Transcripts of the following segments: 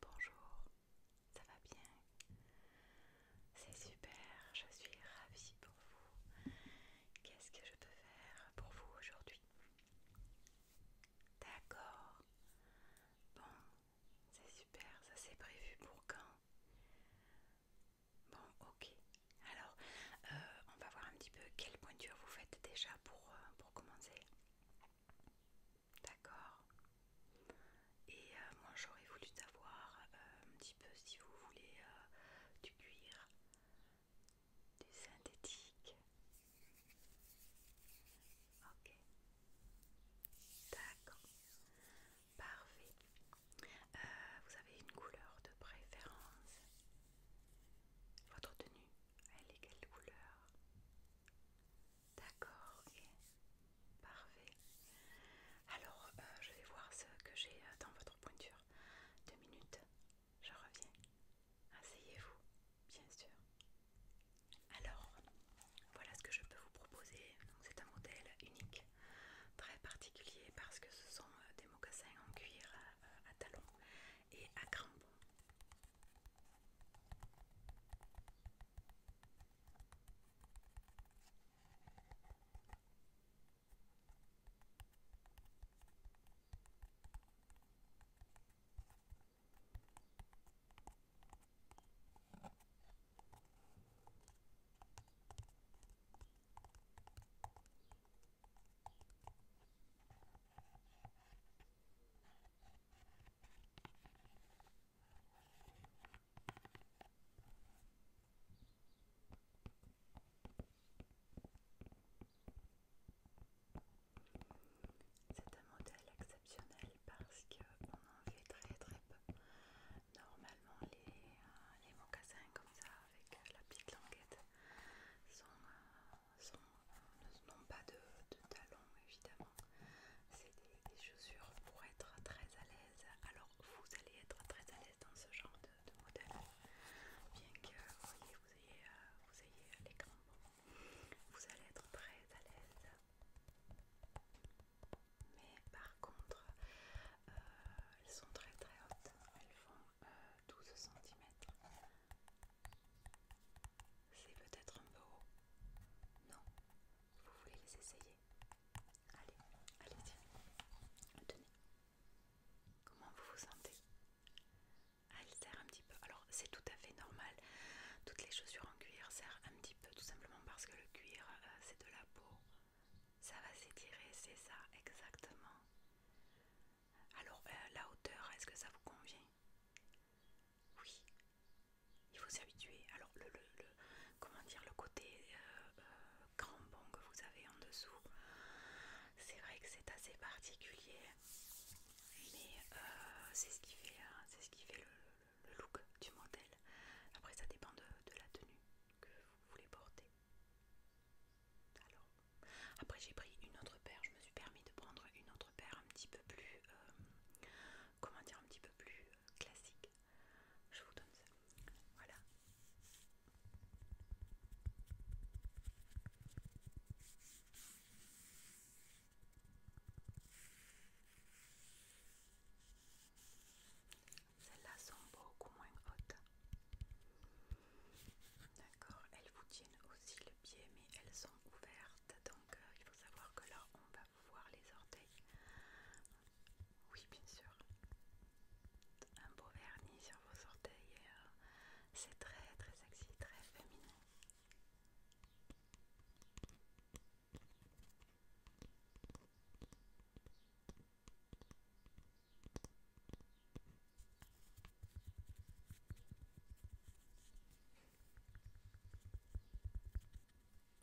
Bonjour, ça va bien C'est super, je suis ravie pour vous. Qu'est-ce que je peux faire pour vous aujourd'hui D'accord. Bon, c'est super, ça c'est prévu pour quand Bon, ok. Alors, euh, on va voir un petit peu quelle pointure vous faites déjà pour euh, commencer. D'accord Et euh, moi j'aurais voulu savoir euh, un petit peu si vous voulez euh, du cuir, du synthétique. Ok. D'accord. Parfait. vous avez une couleur de préférence Votre tenue elle est quelle couleur D'accord, et Parfait. Alors, euh, je vais voir ce que j'ai euh, dans votre pointure. Deux minutes, je reviens. Asseyez-vous, bien sûr. Alors, voilà ce que je peux vous proposer. C'est un modèle unique, très particulier parce que ce sont euh, des mocassins en cuir à, à talons et à crampons. C'est un modèle exceptionnel parce qu'on en fait très très peu. Normalement euh, les, mocassins comme ça avec la petite languette sont, euh, sont, pas de, talons évidemment. C'est des, chaussures pour être très à l'aise. Alors vous allez être très à l'aise dans ce genre de, modèle. Bien que vous voyez, vous ayez, les euh, crampons. Vous allez être très à l'aise. Mais par contre, euh, elles sont très très hautes. Elles font 12 cm. C'est peut-être un peu haut. Non, vous voulez les essayer Allez, allez-y. Tenez. Comment vous vous sentez Elle serre un petit peu. Alors, c'est tout à fait normal. Toutes les chaussures en cuir serrent un petit peu, tout simplement parce que le cuir, euh, c'est de la peau. Ça va s'étirer, c'est ça, exactement. Alors, euh, la hauteur, est-ce que ça vous convient Oui. Il faut s'habituer. Alors, le, comment dire, le côté euh, euh, crampon que vous avez en dessous, c'est vrai que c'est assez particulier, mais c'est ce qui fait, hein, ce qui fait le, look du modèle. Après, ça dépend de, de la tenue que vous voulez porter. Alors, après j'ai pris une autre paire, je me suis permis de prendre une autre paire un petit peu plus, euh, comment dire, un petit peu plus euh, classique. Je vous donne ça. Voilà. Celles-là sont beaucoup moins hautes. D'accord, elles vous tiennent aussi le pied, mais elles sont ouvertes, donc euh, il faut savoir que là on va voir les orteils. Oui, bien sûr. Un beau vernis sur vos orteils, euh, c'est très très sexy, très féminin.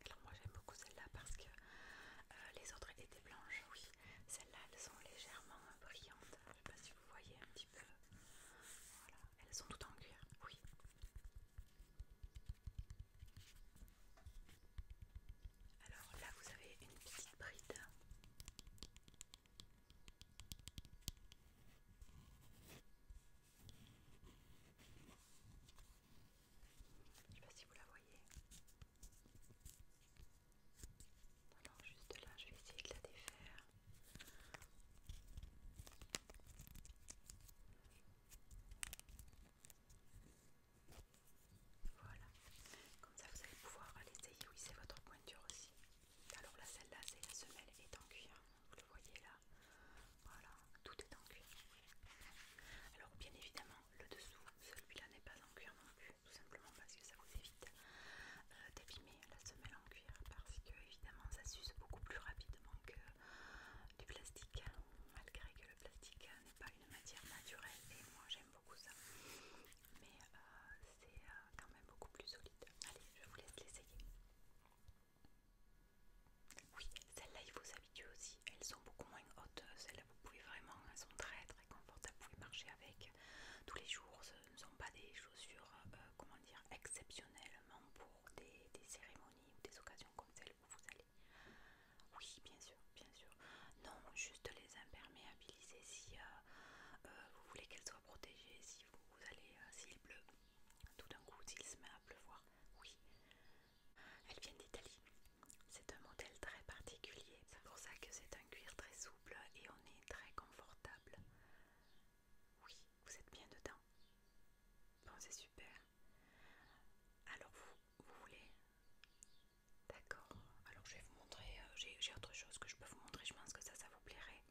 Alors moi j'aime beaucoup celle-là parce que euh, les autres étaient blanches, oui. Celles-là elles sont légèrement euh, brillantes. Je ne sais pas si vous voyez un petit peu. Voilà, elles sont toutes en cuir, oui. Alors là vous avez une petite bride je sais pas si vous la voyez. Alors juste là, je vais essayer de la défaire. Voilà. Comme ça, vous allez pouvoir l'essayer. Oui, c'est votre pointure aussi. Alors la celle-là, c'est la semelle est en cuir. Vous le voyez là. Voilà, tout est en cuir. Alors, bien évidemment, le dessous, celui-là n'est pas en cuir non plus. Tout simplement parce que ça vous évite euh, la semelle en cuir. Parce que, évidemment, ça s'use beaucoup plus rapidement que du plastique. Malgré que le plastique n'est pas une matière naturelle. Et moi, j'aime ça. Mais euh, c'est euh, quand même beaucoup plus solide. Allez, je vous laisse l'essayer. Oui, celles-là, il faut s'habituer aussi. Elles sont beaucoup moins hautes. Celles-là, vous pouvez vraiment, elles sont très très confortables. Vous pouvez marcher avec tous les jours. Ce ne sont pas des chaussures, euh, comment dire, exceptionnellement pour des, des cérémonies ou des occasions comme celles où vous allez. Oui, bien sûr, non, juste les imperméabiliser si euh, euh, vous voulez qu'elles soient protégées, si vous, allez, euh, s'il pleut, tout d'un coup, s'il se met à pleuvoir, oui. Elles viennent d'Italie. C'est un modèle très particulier, c'est pour ça que c'est un cuir très souple et on est très confortable. Oui, vous êtes bien dedans. Bon, c'est super. Alors vous voulez D'accord. Alors je vais vous montrer, euh, j'ai autre chose que je peux vous montrer, je pense que ça, ça vous plairait.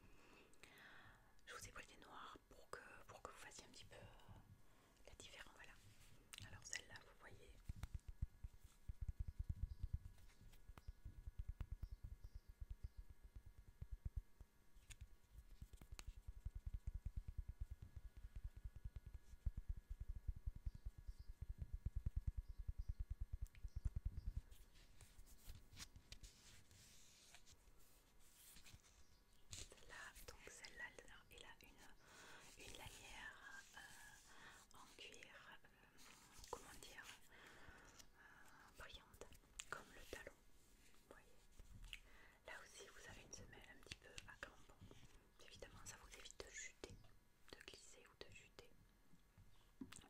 Je vous ai pris des noirs pour que, pour que vous fassiez un petit peu euh, la différence. Voilà. Alors celle-là, vous voyez là donc celle-là, elle a une, lanière euh, en cuir, euh, comment dire, euh, brillante, comme le talon. Là aussi, vous avez une semelle un petit peu à crampons. Évidemment, ça vous évite de chuter de glisser ou de juter.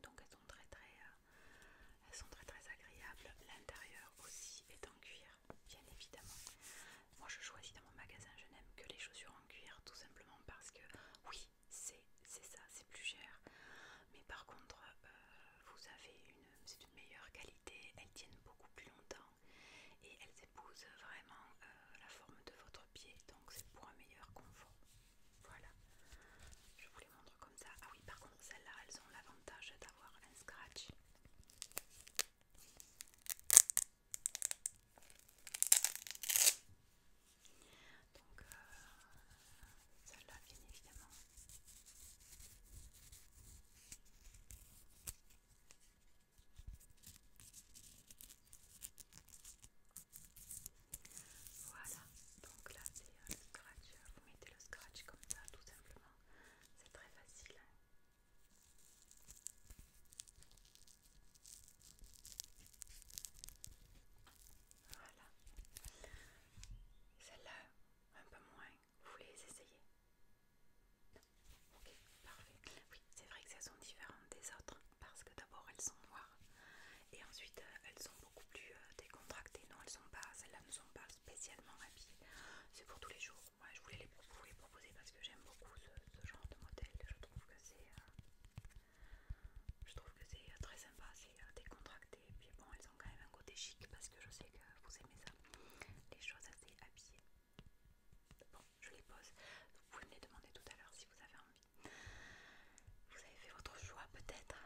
Donc elles sont très euh, très, très, agréables. L'intérieur aussi est en cuir, bien évidemment. Moi je choisis dans mon magasin, je n'aime que les chaussures en cuir, tout simplement parce que oui, c'est ça, c'est plus cher. Mais par contre, euh, vous avez une, c'est une meilleure qualité, elles tiennent beaucoup plus longtemps et elles épousent vraiment euh, la forme de votre donc c'est pour un meilleur confort. Voilà, je vous les montre comme ça. Ah oui, par contre, celles-là, elles ont l'avantage d'avoir un scratch. Donc, euh, celle-là, bien évidemment. Voilà, donc là c'est euh, le scratch, vous mettez le scratch comme ça tout simplement, c'est très facile. Hein. voilà, celle-là un peu moins, vous voulez essayer Ok, parfait. Oui, c'est vrai que elles sont différentes des autres parce que d'abord elles sont noires et ensuite euh, elles sont beaucoup plus euh, décontractées. Non, elles sont pas, celles-là ne sont pas spécialement habillées. C'est pour tous les jours. Moi, je voulais les, vous les proposer parce que j'aime beaucoup ce, genre de modèle. Je trouve que c'est, euh, je trouve que c'est très sympa, c'est décontracté. Et puis bon, elles ont quand même un côté chic parce que je sais que vous aimez ça. Les choses assez habillées. Bon, je les pose. Vous pouvez me les demander tout à l'heure si vous avez envie. Vous avez fait votre choix peut-être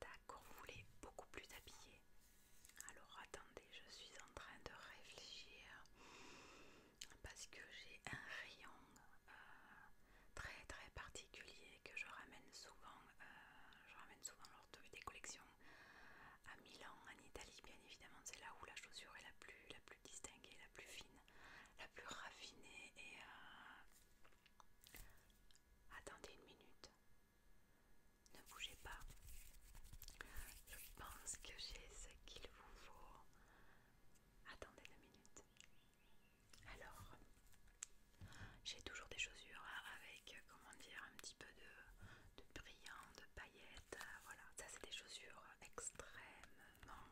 D'accord, vous voulez beaucoup plus habillé. Alors attendez, je suis en train de réfléchir parce que j'ai un rayon euh, très très particulier que je ramène souvent, euh, je ramène souvent lors des collections à Milan, en Italie, bien évidemment, c'est là où la chaussure est la plus, la plus distinguée, la plus fine, la plus raffinée et... Euh, attendez une minute. Ne bougez pas. Je pense que j'ai ce qu'il vous faut. Attendez la minute. Alors, j'ai toujours des chaussures avec, comment dire, un petit peu de, brillant, de euh, voilà, ça c'est des chaussures extrêmement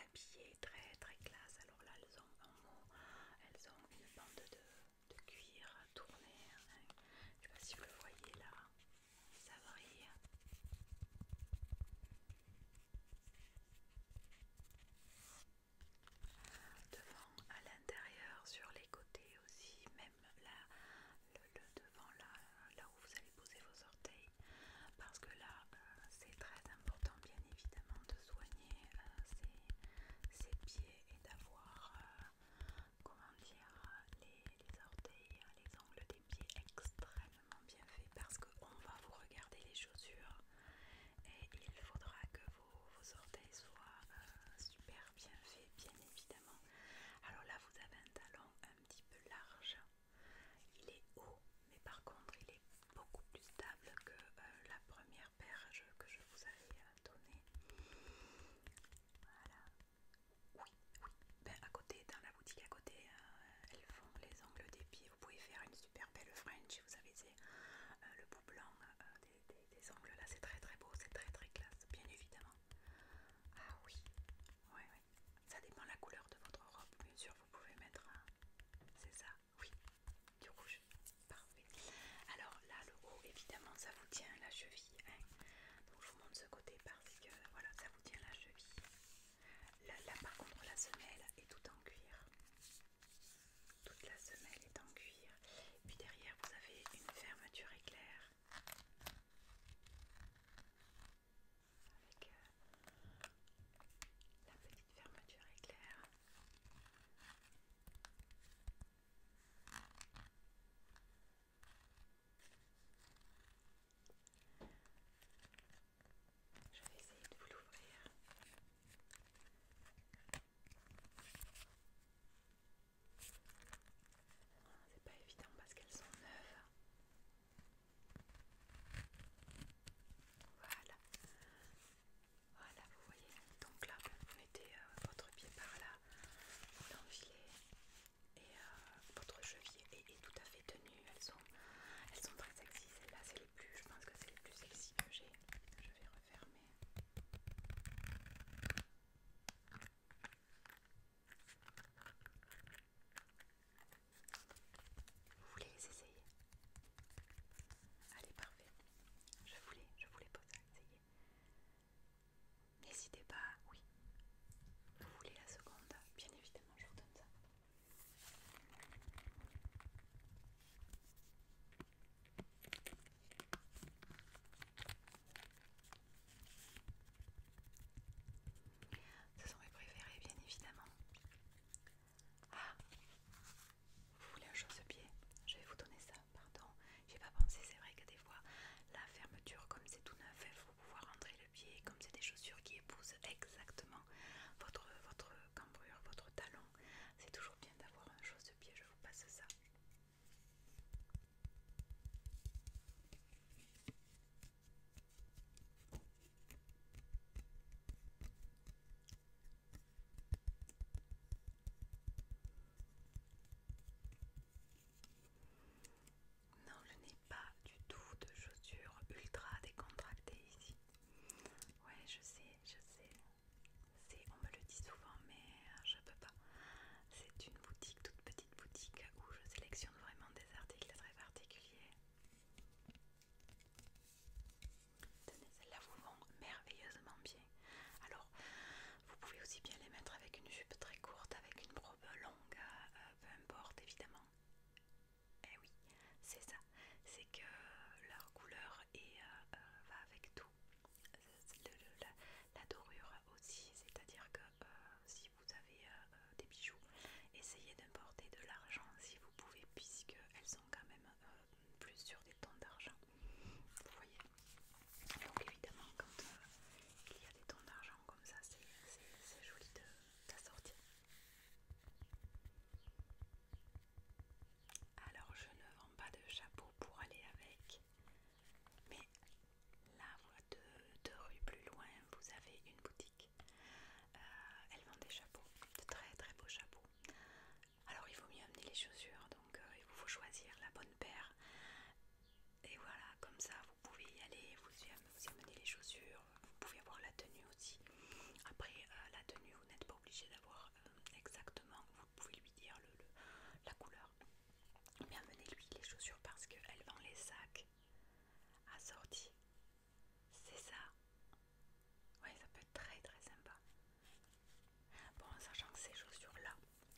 habillées, très très classe. Alors là elles ont elles ont une bande de, cuir tournée, hein. je sais pas si vous le voyez là, ça brille. Devant, à l'intérieur, sur les côtés aussi, même le, devant là, là où vous allez poser vos orteils parce que là euh, c'est très important bien évidemment de soigner ces euh, ses, pieds et d'avoir euh, comment dire les, orteils, les ongles des pieds extrêmement bien faits parce qu'on va vous regarder les chaussures et il faudra que vos, orteils soient super bien faits bien évidemment alors là, vous avez un talon un petit peu large. Il est haut, mais par contre, il est beaucoup plus stable que euh, la première paire que je vous avais euh, donnée. Voilà. Oui, oui. Ben, à côté, dans la boutique à côté, euh, elles font les ongles des pieds. Vous pouvez faire une super belle French. Vous avez le bout blanc des, ongles là, c'est très très beau, c'est très très classe, bien évidemment. Ah oui, ouais, Ça dépend la couleur de votre robe, bien sûr, vous pouvez mettre un... C'est ça, oui, du rouge, parfait. Alors là, le haut, évidemment, ça vous tient la cheville. Hein. Donc je vous montre ce côté parce que, voilà, ça vous tient la cheville. Là, par contre, la semelle est tout en cuir. Toute la semelle est en cuir. Puis derrière, vous avez une fermeture éclair avec euh, la petite fermeture éclair. Je vais essayer de vous l'ouvrir. C'est pas évident parce qu'elles sont neuves. Voilà. Voilà, vous voyez. Donc là, vous mettez euh, votre pied par là, vous l'enfilez et euh, votre cheville est, tout à fait tenu. Elles sont, très sexy. Celles-là, c'est les plus, je pense que c'est les plus sexy que j'ai. Fermez Vous voulez les essayer Allez, parfait. Je voulais, je voulais pas essayer. N'hésitez pas, oui. Vous voulez la seconde Bien évidemment, je vous donne ça. Ce sont mes préférés, bien évidemment. Ah, vous voulez un chausse-pied Je vais vous donner ça, pardon. J'ai pas pensé, c'est vrai que des fois, la fermeture, comme c'est tout neuf, il faut pouvoir rentrer le pied, comme c'est des chaussures qui épousent exactement votre, votre cambrure, votre talon. C'est toujours bien d'avoir un chausse-pied, je vous passe ça. Non, je n'ai pas du tout de chaussures ultra décontractées ici. Ouais, je sais, je sais on me le dit souvent mais euh, je peux pas. C'est une boutique, toute petite boutique où je sélectionne vraiment des articles très particuliers. Tenez, celles-là vous vont merveilleusement bien. Alors, vous pouvez aussi bien les mettre avec une jupe très courte, avec une robe longue, euh, euh, peu importe évidemment. Eh oui, c'est ça. C'est que leur couleur va avec tout la, dorure aussi, c'est-à-dire que euh, si vous avez euh, euh, des bijoux, essayez d'importer de l'argent si vous pouvez, puisqu'elles sont quand même plus sur des tons d'argent. Vous voyez Donc évidemment, quand il y a des tons d'argent comme ça, c'est joli de De, sortir alors je ne vends pas de chapeau pour aller avec, mais là, de deux rues plus loin, vous avez une boutique. Euh, elle vend des chapeaux, de très très beaux chapeaux. Alors il faut mieux amener les chaussures, donc euh, il vous faut choisir la bonne paire. Et voilà, comme ça vous pouvez y aller, vous y, amenez les chaussures, vous pouvez avoir la tenue aussi. Après euh, la tenue, vous n'êtes pas obligé d'avoir euh, exactement, vous pouvez lui dire le, la couleur. bien amenez-lui les chaussures parce qu'elle vend les sacs assortis. C'est ça. Ouais, ça peut être très très sympa. Bon, sachant que ces chaussures-là,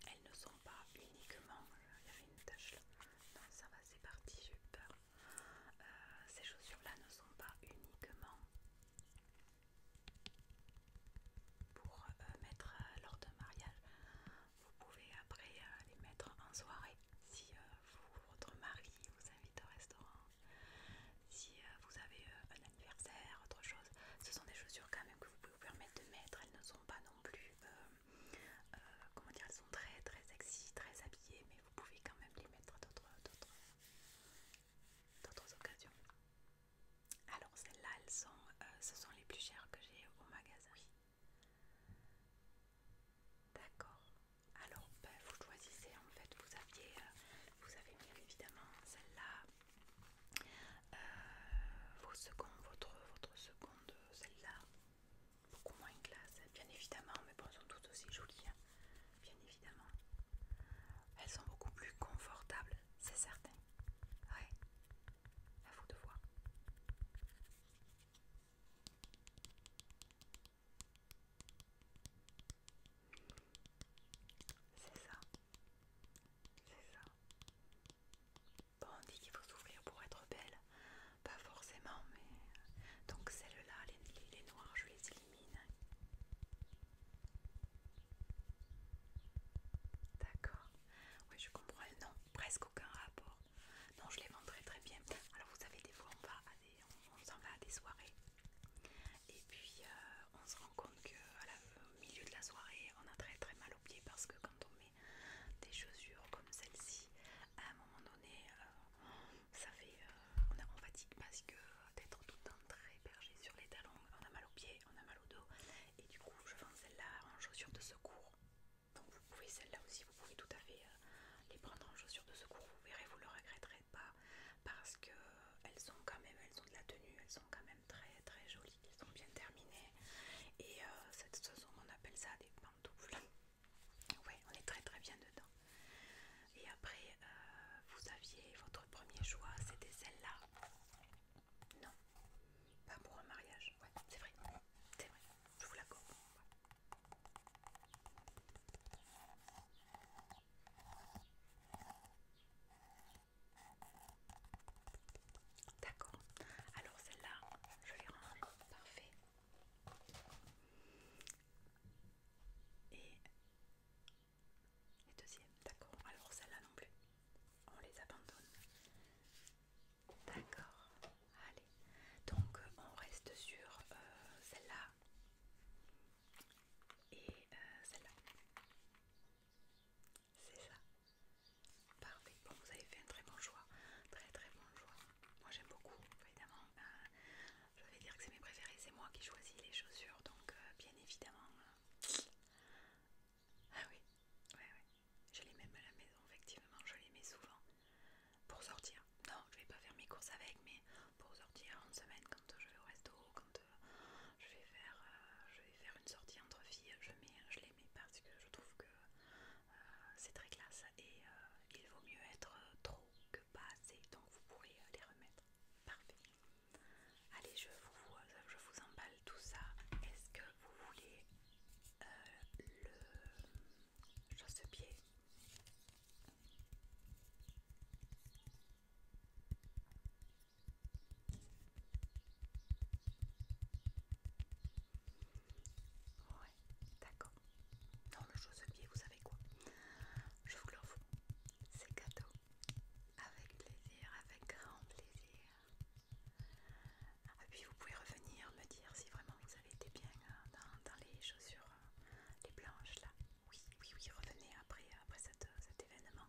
elles ne sont pas uniquement... Euh, il y avait une tache là. Non, ça va, c'est parti, super euh, ces chaussures-là ne sont pas uniquement pour euh, mettre euh, lors d'un mariage. Vous pouvez après euh, les mettre en soirée si vous, votre mari vous invite au restaurant, si vous avez un anniversaire, autre chose. Ce sont des chaussures quand même que vous pouvez vous permettre de mettre. Elles ne sont pas non plus, comment dire, elles sont très très sexy, très habillées, mais vous pouvez quand même les mettre d'autres d'autres occasions. Alors celles-là, elles sont, euh, ce sont les plus chères que j'ai au magasin. D'accord. Alors ben, vous choisissez en fait. Vous aviez, euh, vous avez bien évidemment celle-là, euh, vos secondes, votre, votre seconde, celle-là, beaucoup moins classe, hein, bien évidemment, mais bon, elles sont toutes aussi jolies. Hein bien évidemment. Elles sont beaucoup plus confortables, c'est certain. Ouais, à vous de voir. C'est ça, c'est ça. Bon, on dit qu'il faut s'ouvrir pour être belle, pas forcément, mais euh, donc celle-là, les, les, noirs, je les D'accord. Oui, je comprends. Non, presque aucun rapport. Non, je les vends très très bien. Alors vous savez, des fois on va à des, on, s'en va à des soirées. Et puis euh, on se rend compte que au milieu de la soirée, on a très très mal aux pieds parce que quand on met des chaussures comme celle-ci, à un moment donné, euh, ça fait, euh, on, a, fatigue parce que d'être tout le temps très bergé sur les talons, on a mal aux pieds, on a mal au dos, et du coup je vends celle-là en chaussures de secours. Donc vous pouvez celle-là aussi, vous pouvez tout à fait euh, les prendre en chaussures de secours, vous verrez, vous ne le regretterez pas parce que euh, elles sont quand même, elles ont de la tenue, elles sont quand même très très jolies, elles sont bien terminées et cette saison on appelle ça des pantoufles. Ouais, on est très très bien dedans. Et après, euh, vous aviez votre premier choix, c'était celle-là. Non, pas pour un mariage. Ouais, c'est vrai, c'est vrai. Je vous l'accorde. D'accord. Alors celle-là, je les range. Parfait. Et, deuxième, d'accord. Alors celle-là non plus. On les abandonne. D'accord. Allez. Donc euh, on reste sur euh, celle-là et euh, celle-là. C'est ça. Parfait. Bon, vous avez fait un très bon choix. Très très bon choix. Moi j'aime beaucoup, évidemment je vais dire que c'est mes préférés, c'est moi qui choisis les chaussures, donc euh, bien évidemment. Euh, ah oui, ouais, oui, Je les mets même à la maison, effectivement, je les mets souvent pour sortir. Non, je vais pas faire mes courses avec, mais pour sortir en semaine, quand je vais au resto, quand euh, je vais faire, je vais faire une sortie entre filles, je, mets, je les mets parce que je trouve que c'est très classe et il vaut mieux être trop que pas assez, donc vous pourrez euh, les remettre. Parfait. Allez, je vous, je vous emballe tout ça. Est-ce que vous voulez euh, le chaussepied pied d'accord. Non, le chausse-pied, vous savez quoi Je vous l'offre. C'est cadeau. Avec plaisir, avec grand plaisir. Et puis vous pouvez revenir me dire si vraiment vous avez été bien euh, dans, les chaussures, euh, les blanches là. Oui, oui, oui, revenez après, euh, après cet événement.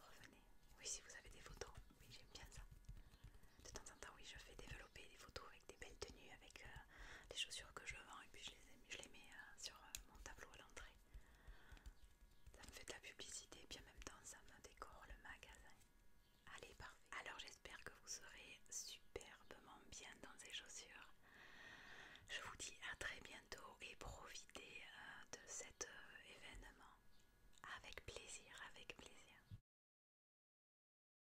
Revenez. Oui, si vous avez des photos. Oui, j'aime bien ça. De temps en temps, oui, je fais des des photos avec des belles tenues, avec euh, des les chaussures que je vends et puis je les, je les mets euh, sur euh, mon tableau à l'entrée. Ça me fait de la publicité et puis en même temps ça me décore le magasin. Allez, parfait. Alors j'espère que vous serez superbement bien dans ces chaussures. Je vous dis à très bientôt et profitez de cet événement. Avec plaisir, avec plaisir.